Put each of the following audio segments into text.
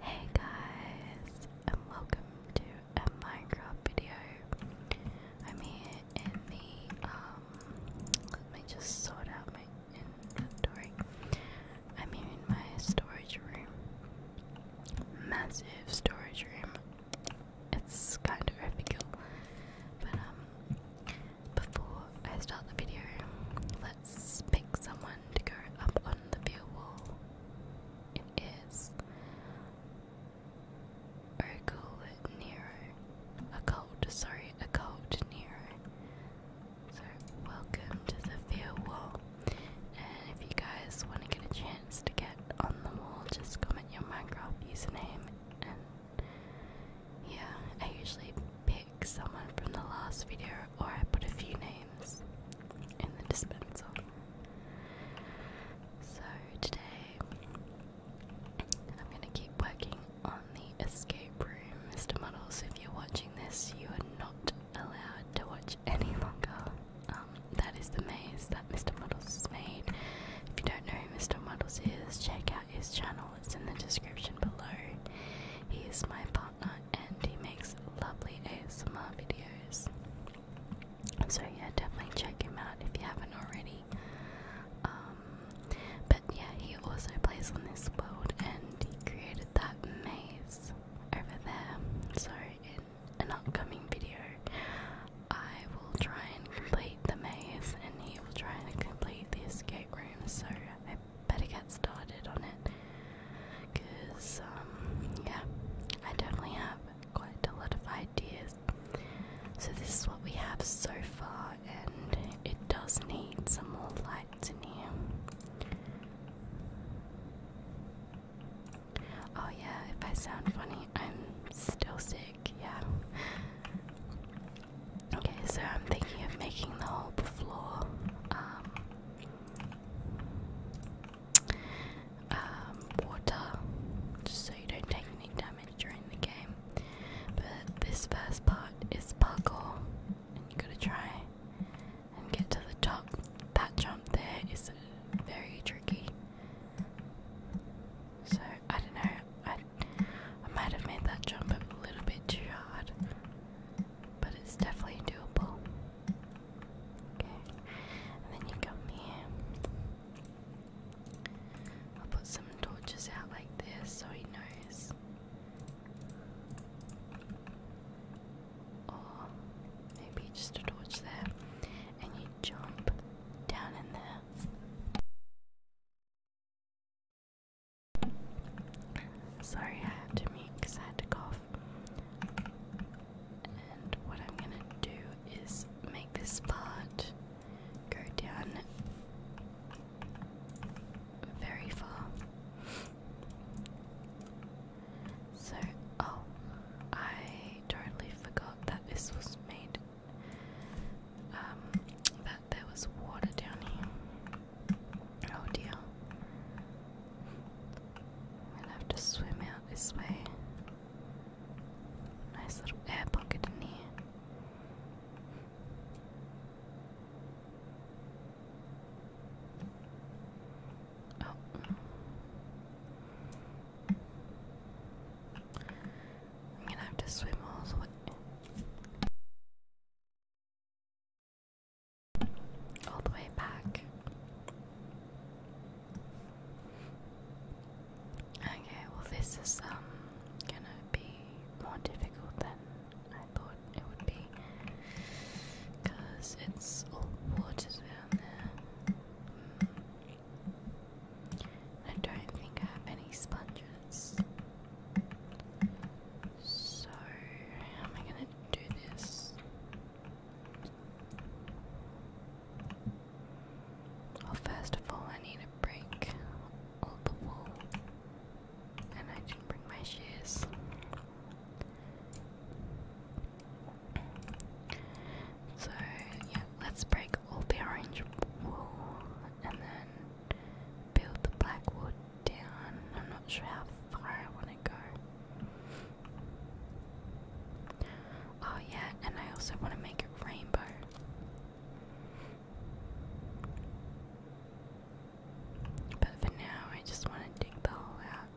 Hey guys, and welcome to a Minecraft video. I'm here in the, um, let me just sort out my inventory. I'm here in my storage room. Massive storage room. It's kind of overkill. But, um, before I start the video, let's pick someone to go up on the view wall. It is Occult Nero. Occult, sorry, cult Nero. So, welcome to the Fear Wall. And if you guys want to get a chance to get on the wall, just comment your Minecraft username. And yeah, I usually pick someone from the last video or I put a few names in the dispenser. So today I'm going to keep working on the escape room, Mr. Muddles. If you're watching this, you are not allowed to watch any longer. Um, that is the maze that Mr. Muddles has made. If you don't know who Mr. Muddles is, check out his channel, it's in the description below. He's my boss and he makes lovely ASMR videos. So, yeah, definitely check him out if you haven't already. Um, but yeah, he also plays on this world and he created that maze over there. So, in an upcoming video, I will try and complete the maze and he will try and complete the escape room. So, I better get started on it because, um, yeah, I definitely have quite a lot of ideas. So, this is what we have so far, and it does need some more lights in here. Oh, yeah, if I sound funny, I'm still sick, yeah. Okay, so I'm thinking of making the whole floor um, um, water, just so you don't take any damage during the game. But this first part is parkour, and you gotta try and get to the top. That jump there is very tricky. So I don't know. I I might have made that jump a little bit too hard, but it's definitely doable. Okay, and then you come here. I'll put some torches out like this so he knows. Or maybe just a torch there, and you jump down in there. Sorry, had to mute I had to cough. And what I'm gonna do is make this part go down very far. So, oh, I totally forgot that this was made, um, that there was water down here. Oh dear. We'll have to swim out this way. Nice little air pocket in here. Oh. I'm gonna have to swim all the way all the way back. Okay, well, this is um gonna be more difficult than I thought it would be it's all water down there. Hmm. I don't think I have any sponges. So, how am I going to do this? Well, first of all, I need to break all the wool, and I didn't bring my shears. So, yeah, let's break all the orange wool and then build the black down. I'm not sure how far I want to go. Oh, yeah, and I also want to make it rainbow. But for now, I just want to dig the hole out.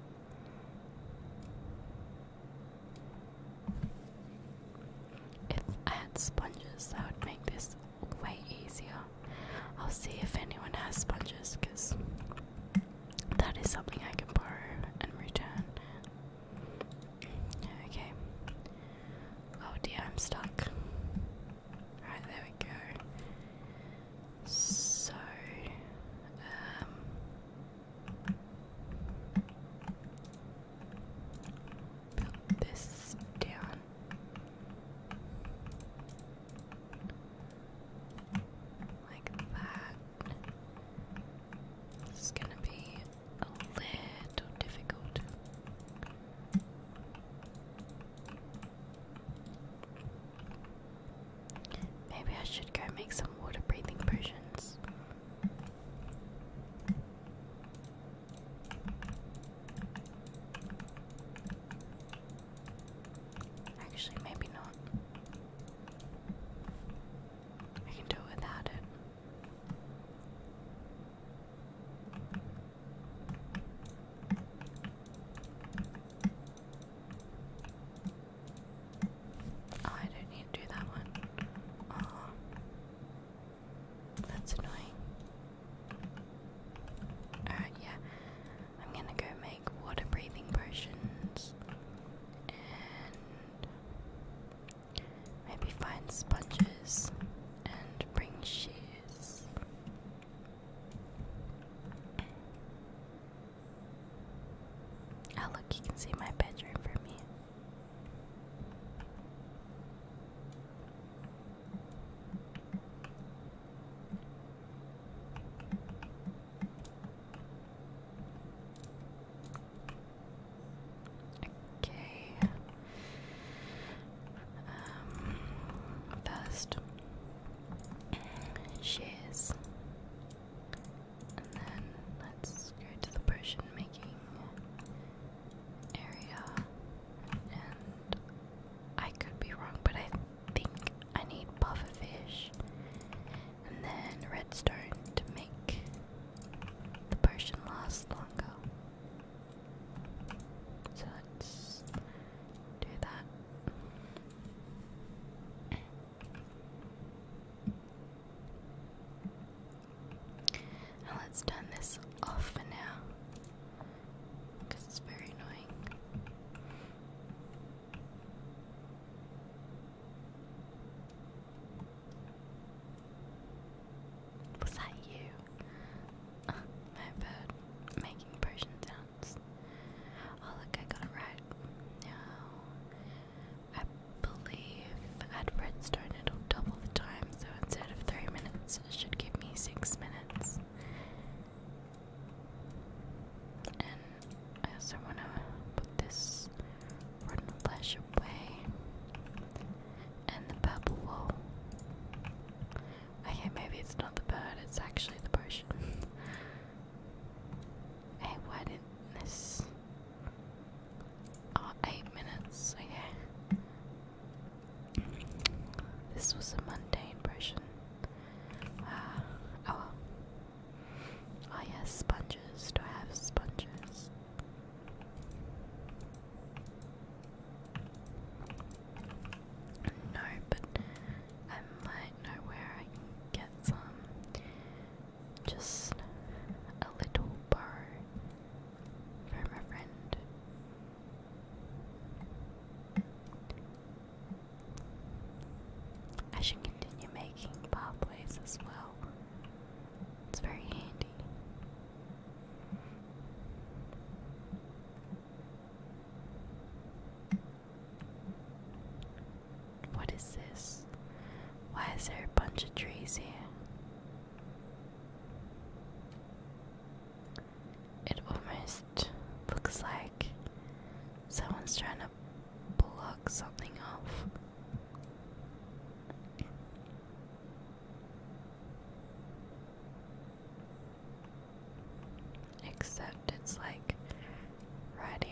If I had sponges, that would make this way easier. I'll see if anyone has sponges because that is something I can borrow and return. Okay. Oh dear, I'm stuck. Alright, there we go. So, um. this down. Like that. This is gonna be a little difficult. Maybe I should go make some water breathing potions. Actually, maybe not. I can do it without it. Oh, I don't need to do that one. Oh, that's annoying. Alright, yeah. I'm gonna go make water breathing potions and maybe find sponges and bring shears. Oh, look, you can see my bedroom from here. Okay. Um, first, shears, and then let's go to the potion making area. And I could be wrong, but I think I need buffer fish, and then redstone to make the potion last longer. So let's do that. And let's turn this off for now because it's very annoying. Was that you? my bird making potion sounds. Oh look, I got it right. Now, I believe at redstone it'll double the time, so instead of three minutes, it should give me six minutes. And I also want to put this rotten flesh away. And the purple wool. Okay, maybe it's not the bird, it's actually the potion. hey, why Oh, eight minutes, okay. This was a mundane potion. Uh, oh Oh yes, sponges. Do I have sponges? No, but I might know where I get some. Just a little borrow from a friend. I should continue making pathways as well. It's very handy. What is this? Why is there a bunch of trees here? It almost looks like someone's trying to block something off. Except it's like right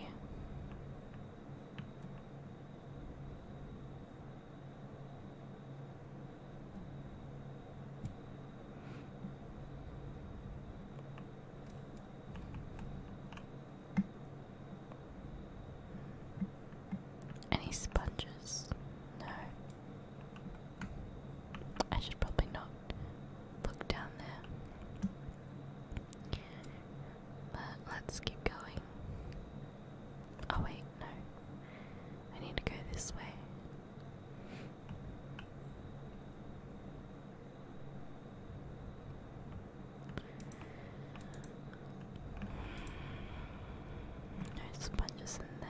any sponges? No. I should probably not look down there. But let's keep going. Oh, wait, no. I need to go this way. No sponges in there.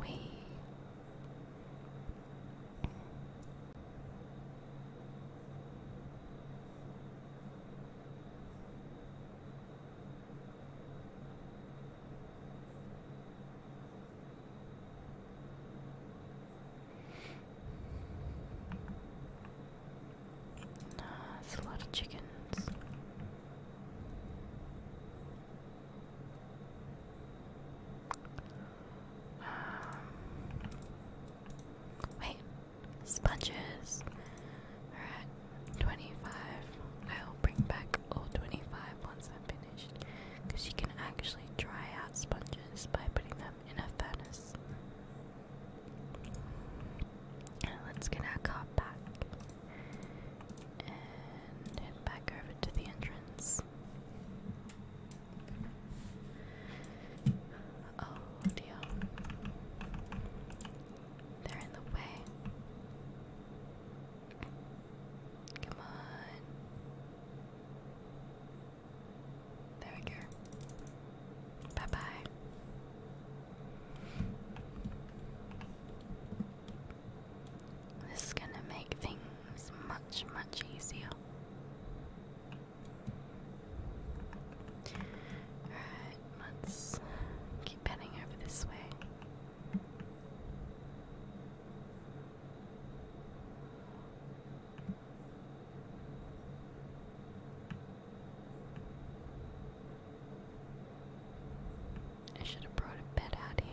We uh, that's a lot of chickens. Um, wait, sponges are at 25. I'll bring back all 25 once I'm finished because you can actually dry out sponges by putting them in a furnace. let's get our car back and head back over to the entrance. Oh dear. They're in the way. Come on. There we go. Bye bye. This is going to make things much, much easier. Alright, let's keep heading over this way. I should have brought a bed out here.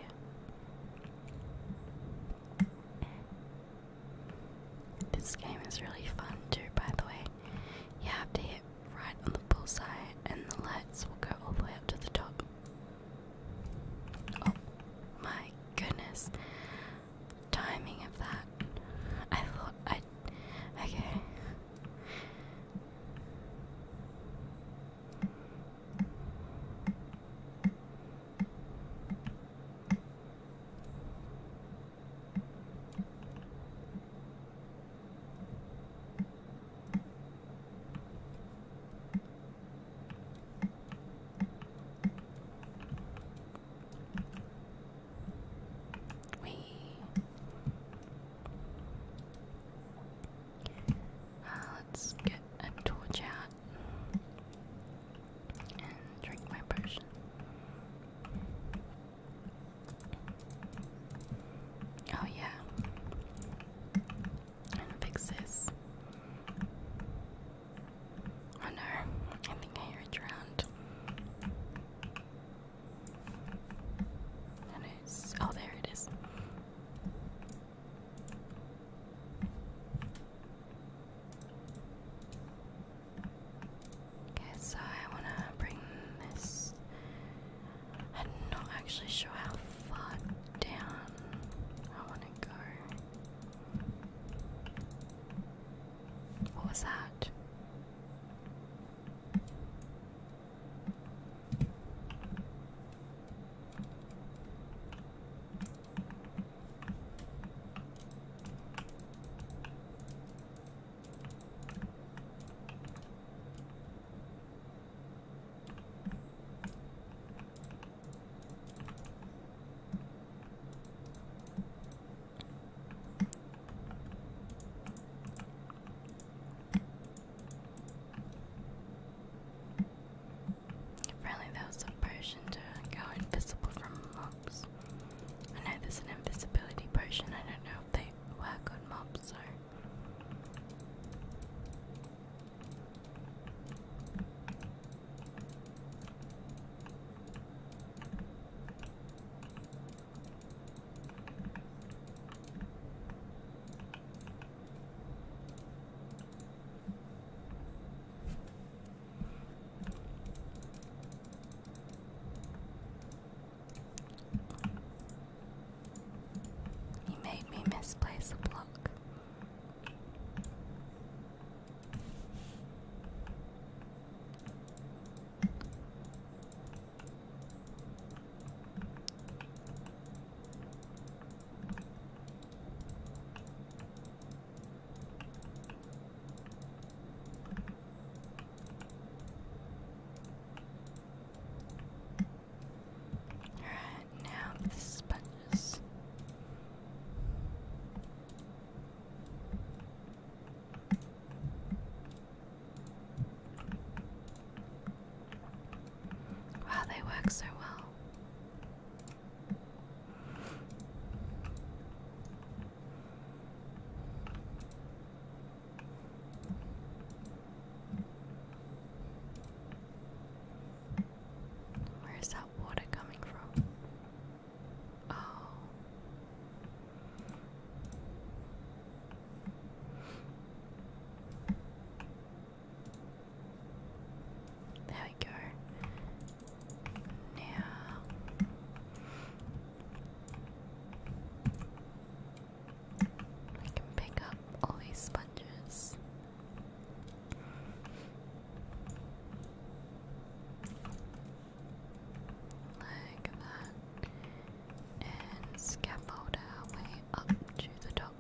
This game is really fun too, by the way. You have to hit right on the bullseye, and the lights will go all the way up to the top. Oh my goodness. Timing of that. I thought I. Okay. We uh, let's get a torch out and drink my potion. Oh, yeah. fix this. Oh no, I think I hear drowned. And oh, there it is. Okay, so I want to bring this. I'm not actually sure how far down I want to go. What was that? Apparently there was a potion to go invisible from mobs mobs. I know there's an invisibility potion, I don't know if they work on mobs, so. He made me misplace a block. Alright, now the sponges. Wow, they work so well. Where is that water coming from? Oh. There we go. Now I can pick up all these sponges. Like that. And scaffold our way up to the top.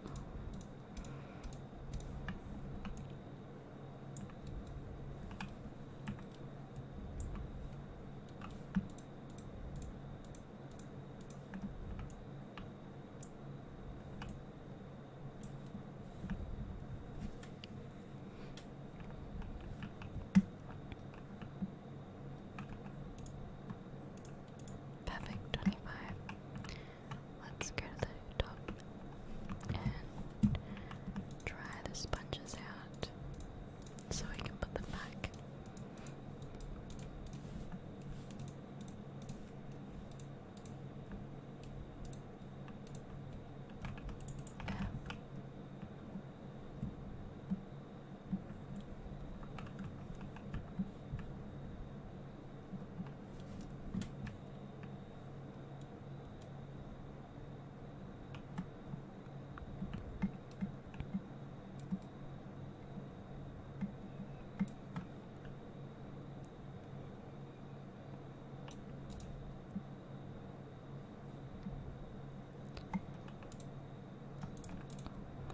Perfect, 25. Let's go to the top and try the sponges out so I can put them back.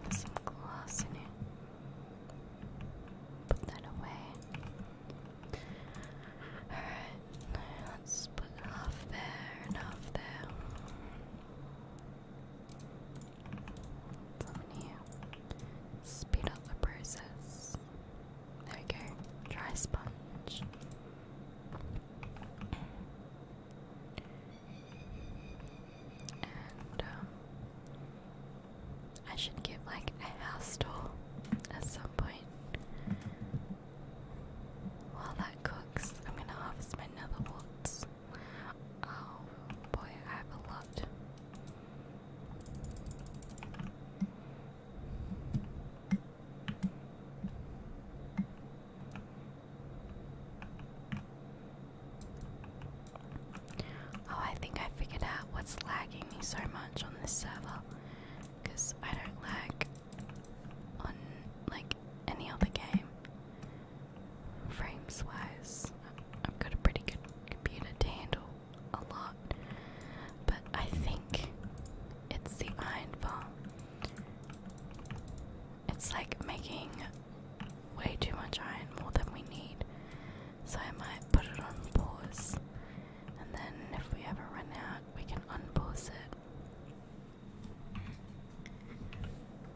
There's some glass in here. Put that away. Alright, let's put half there and half there. So i speed up the process. There we go, dry sponge. And um, I should give like a house tour at some point. While that cooks, I'm gonna harvest my nether Oh boy, I have a lot. Oh, I think I figured out what's lagging me so much on this server because I don't lag on like any other game. Frames wise, I've got a pretty good computer to handle a lot, but I think it's the iron farm. It's like making way too much iron, more than we need. So I might put it on pause, and then if we ever run out, we can unpause it.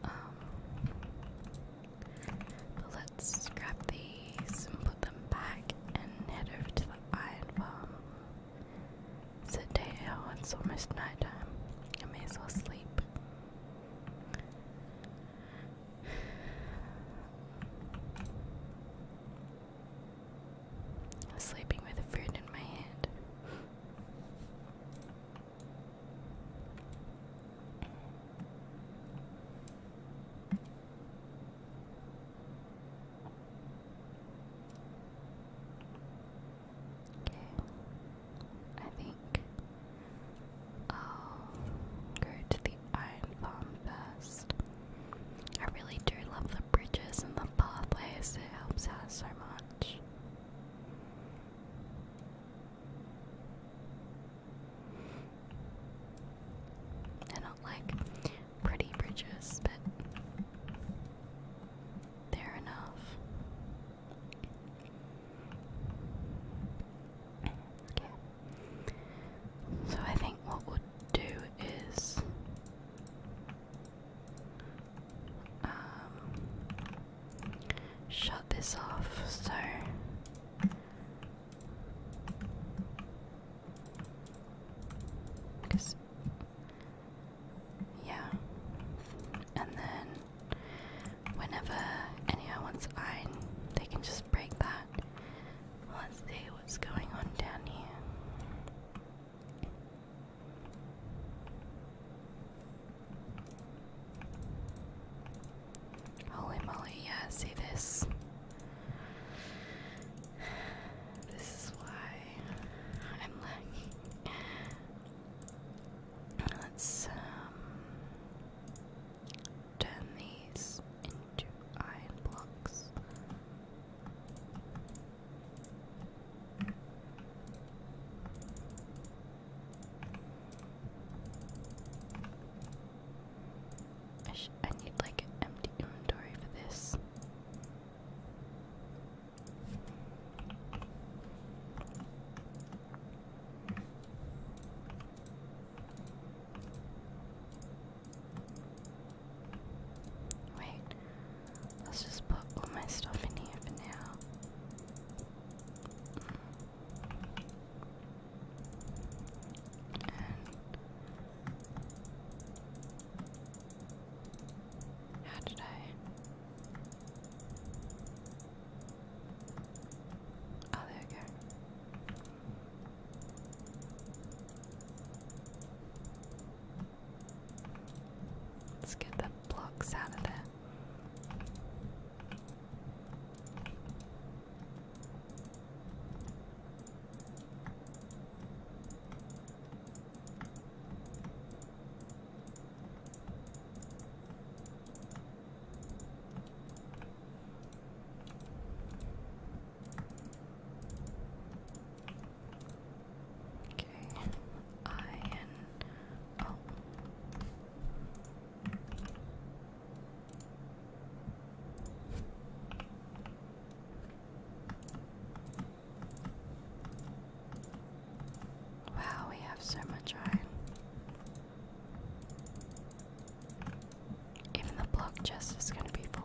Um, let's grab these and put them back and head over to the iron farm. It's day out, it's almost nighttime. I may as well sleep. Sleeping with a fruit in my hand. Okay. I think I'll go to the Iron Farm first. I really do love the bridges and the pathways, it helps out so much. They're not like pretty bridges, but they're enough. So I think what we do is um, shut this off so because yeah and then whenever anyone wants iron they can just break that let's see what's going on down here Holy moly, yeah, see this. This is why I'm lagging. Let's um, turn these into iron blocks. I, need like an empty inventory for this. Wait, let's just put all my stuff in here for now. how did I? Oh, there we go. Let's get the blocks out of there. Okay, iron. Oh. Wow, we have so much iron. Even the block chest is going to be full.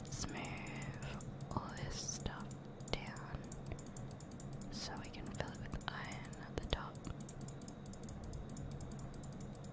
Let's move all this stuff down so we can fill it with iron at the top.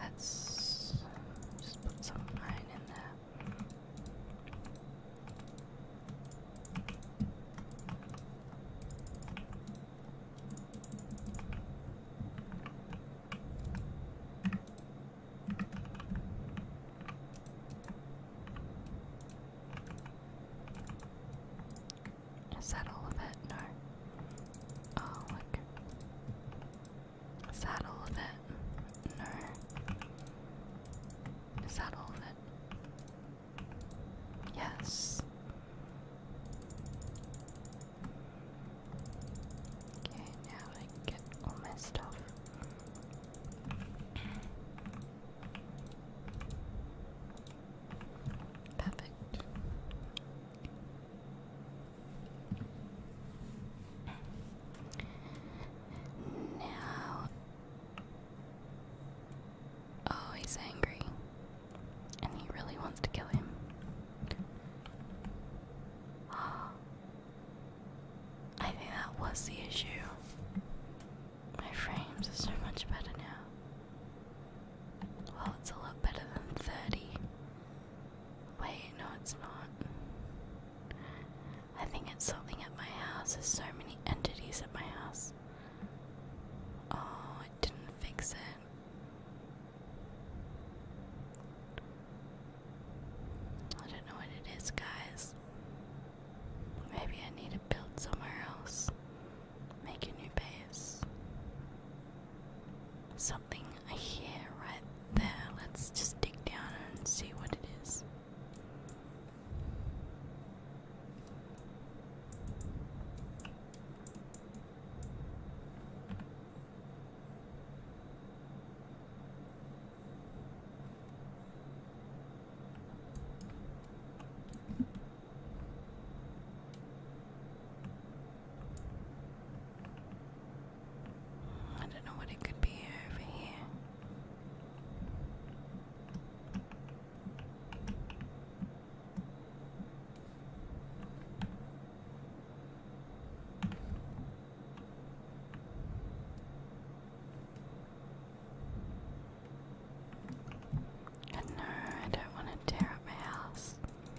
Let's just put some wine in there. Is that all of it? No. Oh, look. Is that all of it? No. Is that all of it? Yes. Okay, now I get all my stuff. Perfect. Now, oh, he's angry, and he really wants to kill him. I think that was the issue. My frames are so much better now. Well, it's a lot better than 30. Wait, no, it's not. I think it's something at my house. There's so many entities at my house. Oh, it didn't fix it. I don't know what it is, guys. Maybe I need to build somewhere else. Make a new base. Something here, right there. Let's just dig down and see what it is. I don't know what it could be over here. no, I don't want to tear up my house.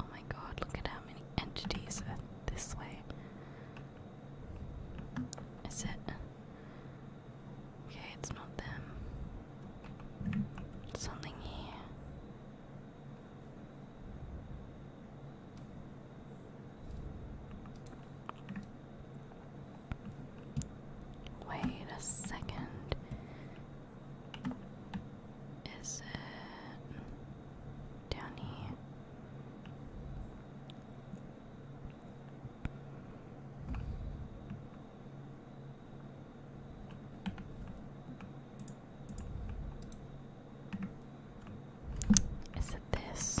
Oh my god, look at how many entities are this way. Is it? Okay, it's not them. Something here. Wait a second. Is it down here? Is it this?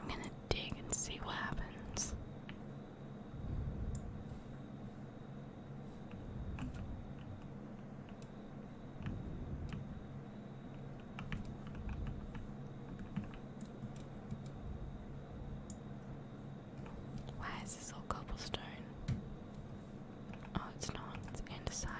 I'm going to dig and see what happens. Why is this all cobblestone? Oh, it's not, it's andesite.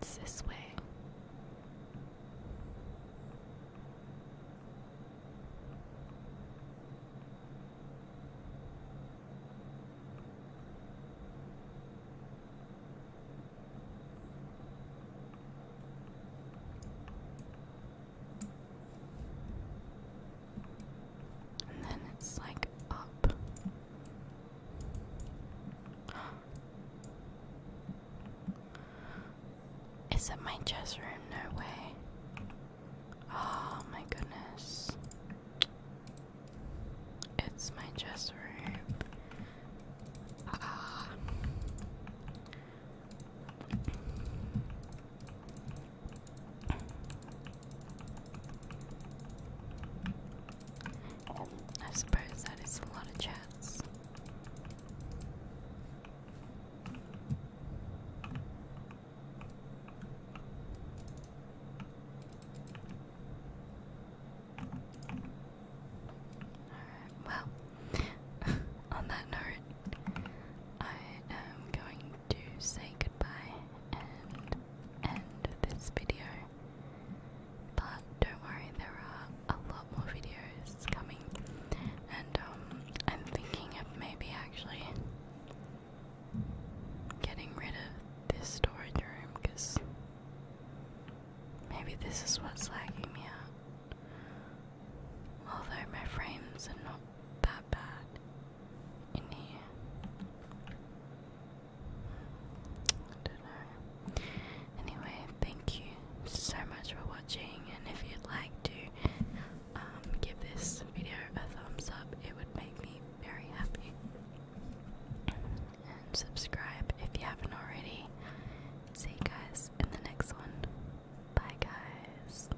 It's this way. And then it's like up. Is it my chess room? No way. Oh my goodness. It's my chess room. Ah. I suppose that is a lot of chats. Alright, well, on that note, I am going to say goodbye and end this video. But don't worry, there are a lot more videos coming, and um, I'm thinking of maybe actually getting rid of this storage room because maybe this is what's lagging me out. Although my frames are not that bad. Anyway, thank you so much for watching, and if you'd like to um, give this video a thumbs up, it would make me very happy. And subscribe if you haven't already. See you guys in the next one. Bye, guys.